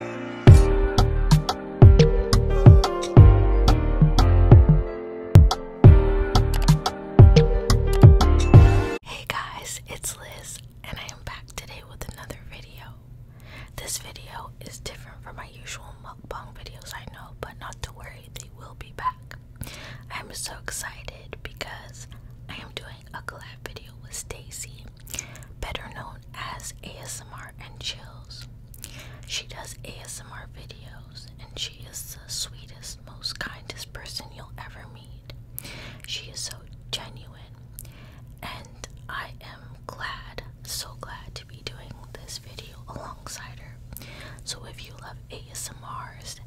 Hey guys, it's Liz, and I am back today with another video. This video is different from my usual mukbang videos, I know, but not to worry, they will be back. I'm so excited because I am doing a collab video with Stacy better known as ASMR and Chills. She does ASMR videos and she is the sweetest, most kindest person you'll ever meet. She is so genuine and I am glad, so glad to be doing this video alongside her. So if you love ASMRs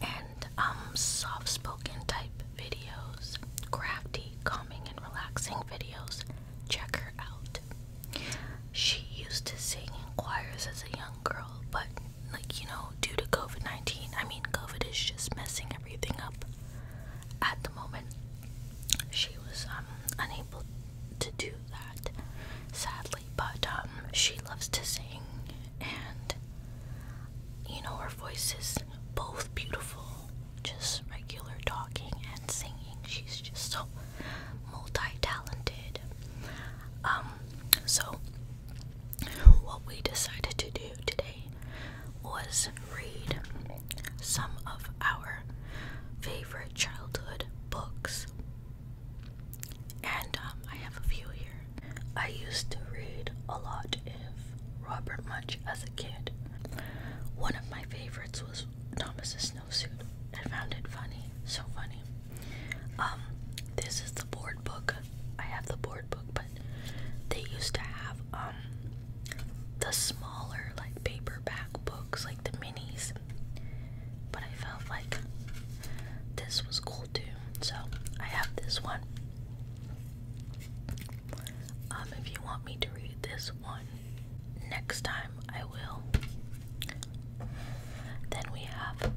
and um soft spoken type videos, crafty, calming and relaxing videos, check her out. She used to sing in choirs as a young girl, but like you know, due to COVID 19, I mean, COVID is just messing everything up at the moment. She was um, unable to do that, sadly, but um, she loves to sing, and you know, her voice is both beautiful just regular talking and singing. She's just so multi-talented. Um, so what we decided to do today was read some of our favorite childhood books. And um, I have a few here. I used to read a lot if Robert much as a kid. One of my favorites was Thomas's snowsuit. I found it funny, so funny. Um, this is the board book. I have the board book, but they used to have um the smaller like paperback books, like the minis. But I felt like this was cool too, so I have this one. Um, if you want me to read this one next time, I will. Then we have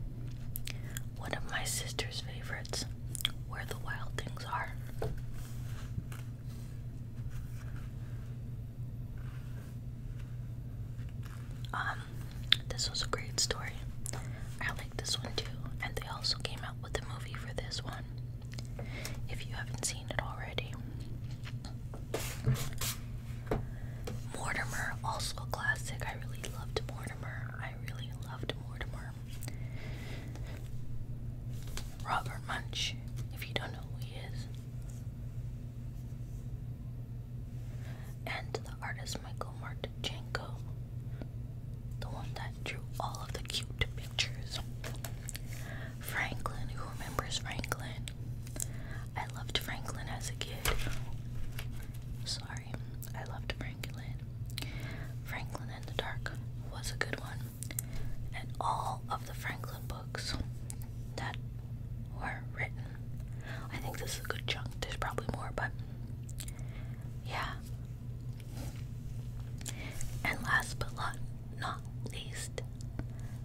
one of my sister's favorites Where the Wild Things Are. Um, this was a great story. I like this one too, and they also came out with a movie for this one if you haven't seen it already. Mortimer, also a classic. I really loved Mortimer. I really loved Mortimer. Robert Munch, if you don't know who he is. And the artist Michael Martichenko, the one that drew all of the cute pictures. Franklin, who remembers Franklin? I loved Franklin as a kid. Sorry, I loved Franklin. Franklin in the Dark was a good one. And all of the Franklin books that were written. I think this is a good chunk. There's probably more, but yeah. And last but not not least,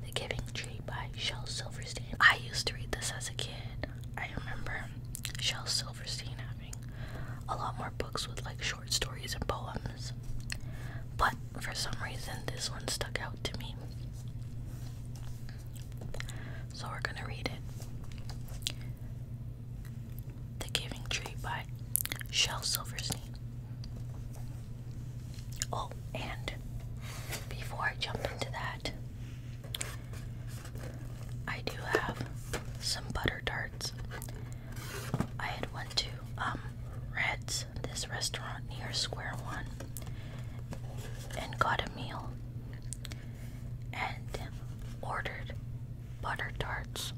The Giving Tree by Shel Silverstein. I used to read this as a kid. I remember Shel Silverstein having a lot more books with like short stories and poems. But for some reason, this one stuck out to me. So we're gonna read it The Giving Tree by Shel Silverstein. Oh, and before I jump into that, I do have some butter tarts. I had went to um Red's, this restaurant near Square One, and got a meal and ordered butter tarts.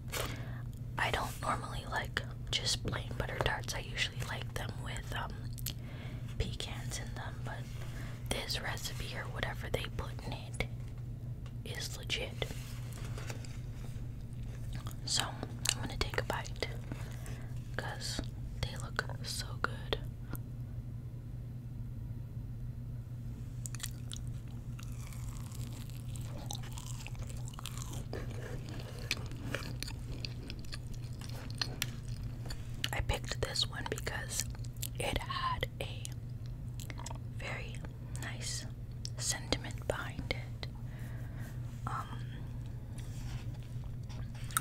I don't normally like just plain butter tarts. I usually like them with um, pecans in them, but this recipe or whatever they put in it is legit. So I'm gonna take a bite because they look so good. I picked this one because it had a very nice sentiment behind it. Um,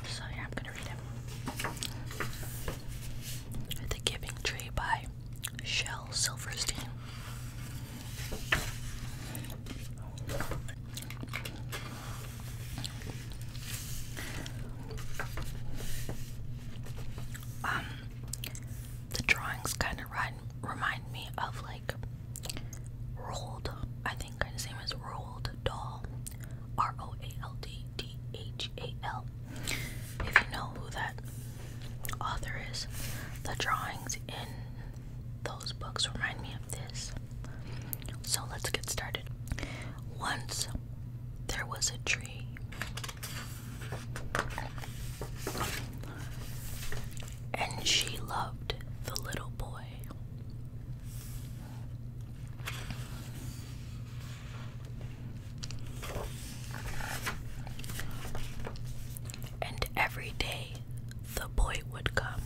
so, yeah, I'm gonna read it. The Giving Tree by Shel Silverstein. Um, the drawings kind of remind me of like rolled, I think kind of same as rolled doll, R O A L D D H A L. If you know who that author is, the drawings in those books remind me of this. So let's get started. Once there was a tree. And she loved the little boy. And every day the boy would come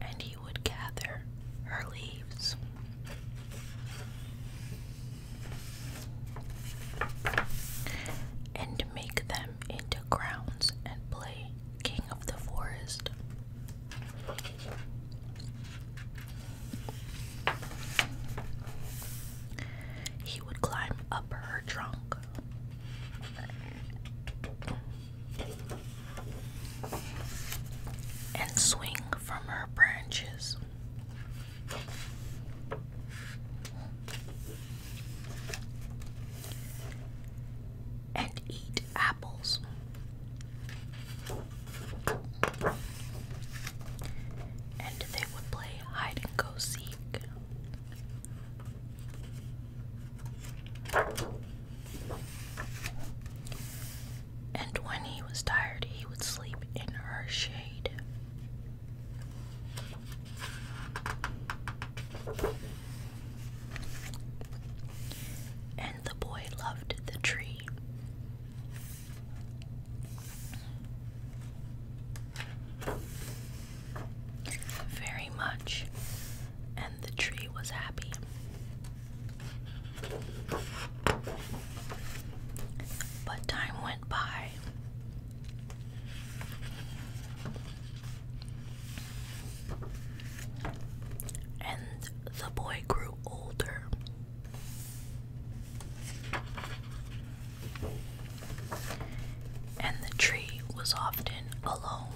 and he would gather her leaves. And make them into crowns and play King of the Forest he would climb up her trunk. And swing from her branches. And eat apples. And they would play hide and go seek. And when he was tired, he would sleep in her shade. And the boy loved the tree very much, and the tree was happy. But time went by. And the boy grew older and the tree was often alone.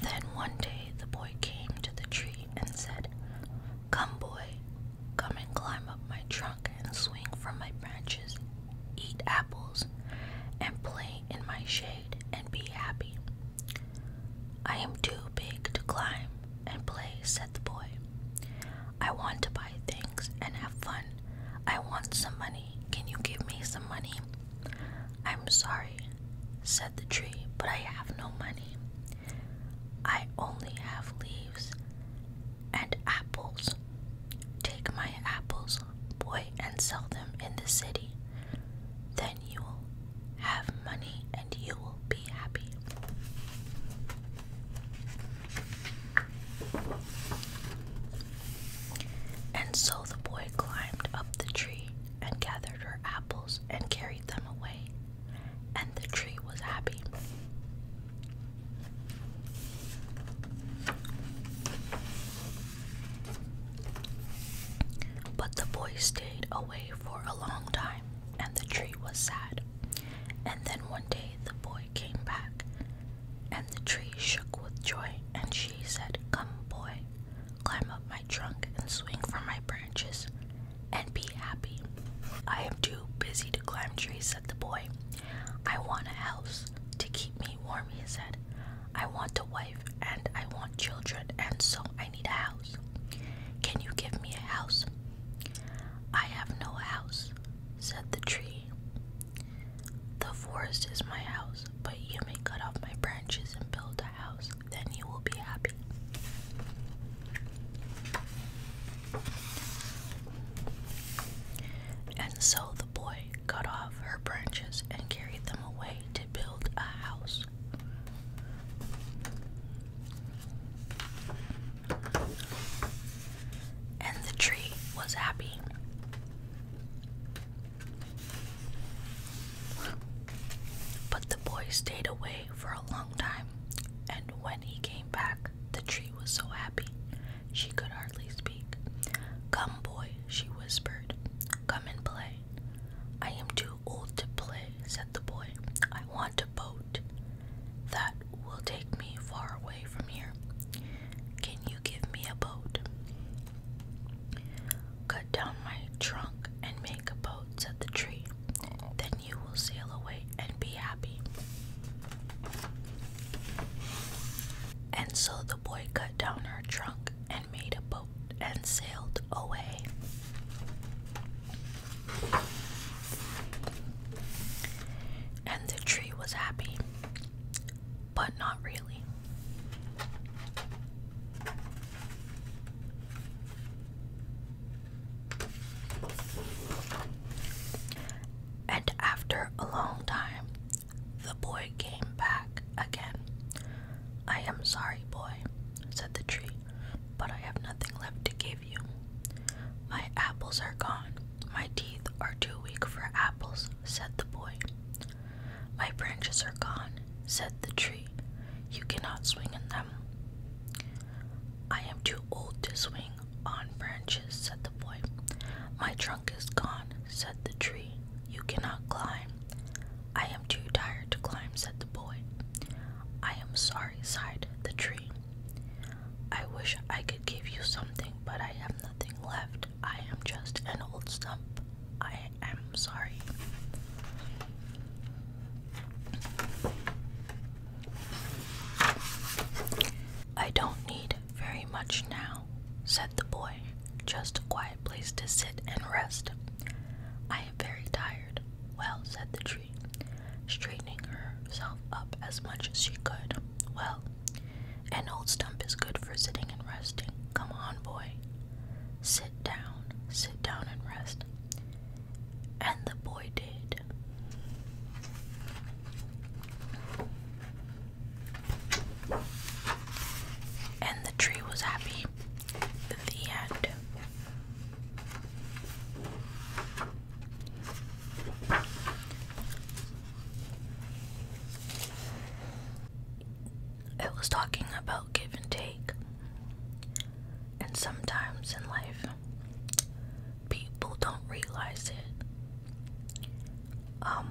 Then one day the boy came to the tree and said, Come, boy, come and climb up my trunk and swing from my branches, eat apples, and play in my shade and be happy. I am too big to climb and play, said the boy. I want to buy things and have fun. I want some money. Can you give me some money? I'm sorry, said the tree, but I have no money. I only have leaves and apples. Take my apples, boy, and sell them in the city. Then you will have money and you will be happy. And so the boy climbed up the tree and gathered her apples and carried them away, and the tree was happy. But the boy stayed away for a long time, and the tree was sad. And then one day the boy came back, and the tree shook with joy, and she said, Come, boy, climb up my trunk and swing from my branches, and be happy. I am too busy to climb trees, said the boy. I want a house to keep me warm, he said. I want a wife and I want children, and so I need a house. Can you give me a house? I have no house, said the tree. The forest is my house, but you may cut off my branches and build a house, then you will be happy. And so the boy cut off her branches and carried them away to build a house. And the tree was happy. But the boy stayed away for a long time, and when he came back, the tree was so happy she could hardly speak. Come, boy, she whispered. Come and play. I am too old to play, said the boy. I want a boat that will take me far away from here. Can you give me a boat? Cut down my trunk and make a boat, said the tree. Then you will sail away and be happy. And so the boy cut down her trunk and made a boat and sailed away. And the tree was happy, but not really. And after a long time, the boy came back again I am sorry, boy, said the tree, but I have nothing left to give you. My apples are gone. My teeth are too weak for apples, said the boy. My branches are gone, said the tree. You cannot swing in them. I am too old to swing on branches, said the boy. My trunk is gone, said the tree. You cannot climb. I am too tired to climb, said the boy. I am sorry, sighed the tree. I wish I could give you something, but I have nothing left. I am just an old stump. I am sorry. I don't need very much now, said the boy. Just a quiet place to sit and rest. I very tired. Well, said the tree, straightening herself up as much as she could. Well, an old stump is good for sitting and resting. Come on, boy. Sit down, sit down and rest. And the boy did. And the tree was happy the end. It was talking about give and take. And sometimes in life, people don't realize it. Um,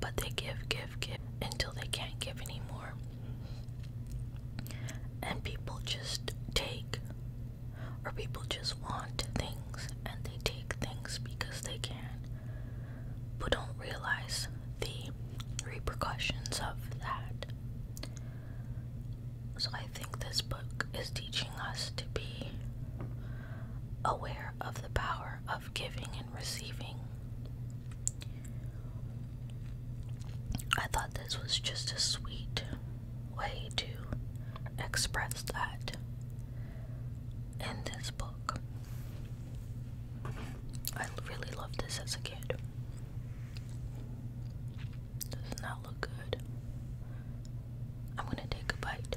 but they give, give, give until they can't give anymore. And people just take, or people just want things and they take things because they can, but don't realize the repercussions of that. So I think this book is teaching us to be aware of the power of giving and receiving I thought this was just a sweet way to express that in this book. I really loved this as a kid. Does not look good. I'm gonna take a bite.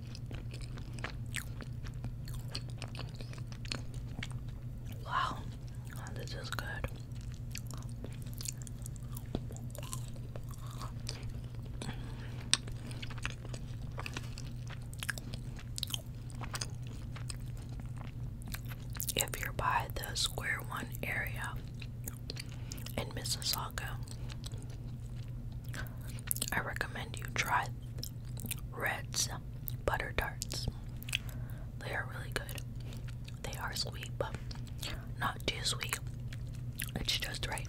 Wow, this is good. If you're by the square one area, in Mississauga. I recommend you try Red's butter tarts. They are really good. They are sweet, but not too sweet. It's just right.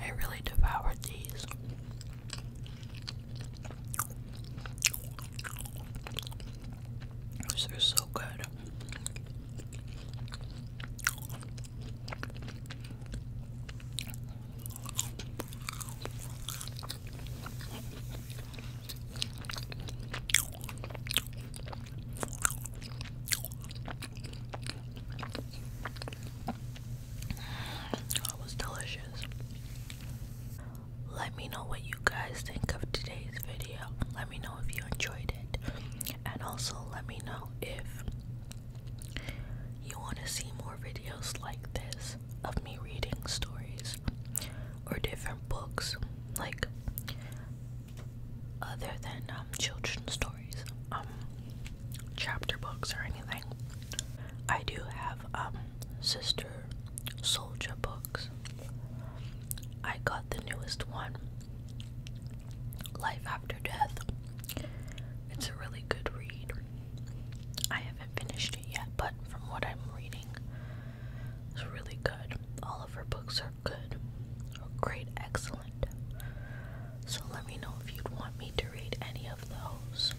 I really devoured these. These are so good. That was delicious. Let me know what you guys think of today's video. Let me know if you enjoyed it. And also let me know if you want to see more videos like this of me reading stories or different books. Like other than um, children's stories, um, chapter books or anything. I do have um, Sister Soldier books. I got the newest one, Life After Death. It's a really good read. I haven't finished it yet, but from what I'm reading, it's really good all of her books are good great, excellent. So let me know if you'd want me to read any of those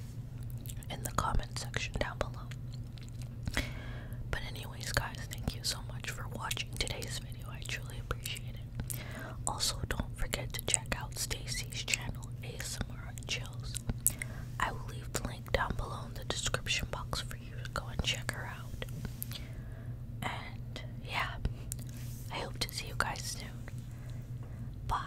in the comment section down below. But, anyways, guys, thank you so much for watching today's video. I truly appreciate it. Also, don't forget to check out Stacy's channel, ASMR and Chills. I will leave the link down below in the description box for go and check her out. And yeah, I hope to see you guys soon. Bye.